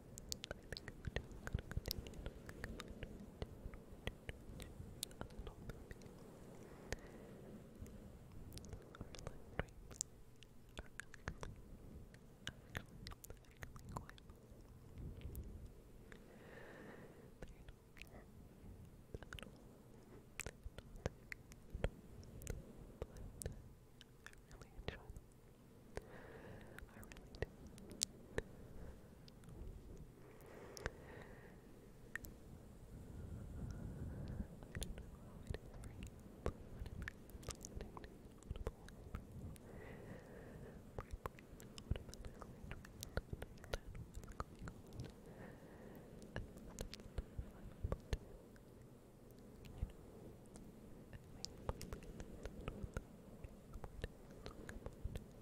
I really enjoy them. I you,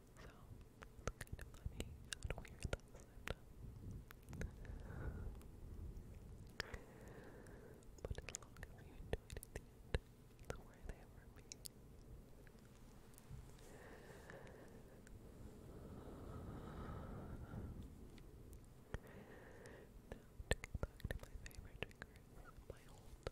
So, it's kind of weird that sounded. But long you enjoyed the end, the way they were made. Now, to back to my favorite triggers, my whole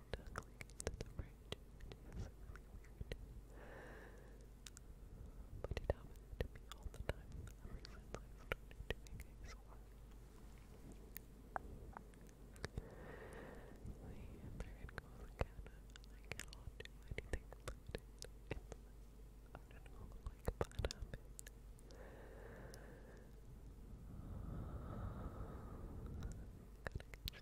Tuckling into the fridge. to me all the time ever since I started doing ASMR. See, there it goes again. I cannot do anything I don't know, like a bad habit.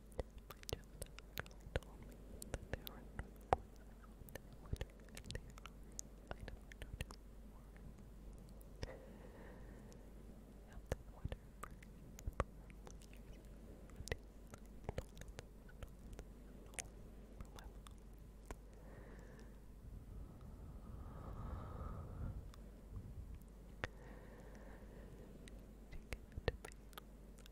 My children told me that there are no voices on their water I don't notice more. Something water for people from years ago and they stole it, stole it, stole it from my mom. She gave it to me.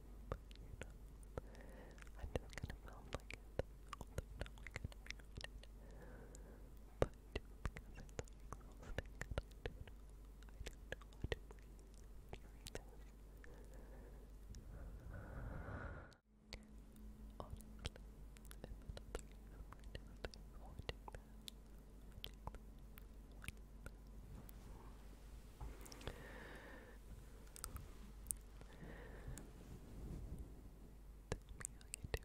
but you know, I never kind of like it, although I kind of regret it. But because it's so exhausting, and I do know, I do know how to breathe during how you do it.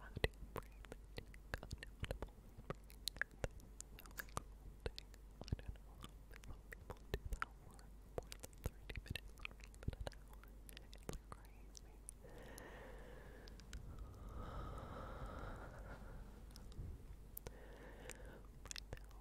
How do you bring the tick unknowable breath? I don't know. Some people do that for more than 30 minutes or even an hour. It's crazy. Right now,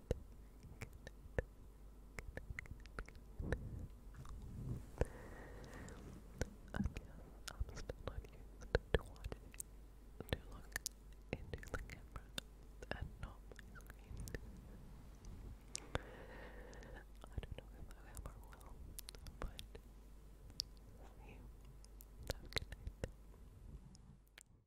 I'm still not to watching to look into the camera and not my screen. I don't know if I ever will, but you. Have good night.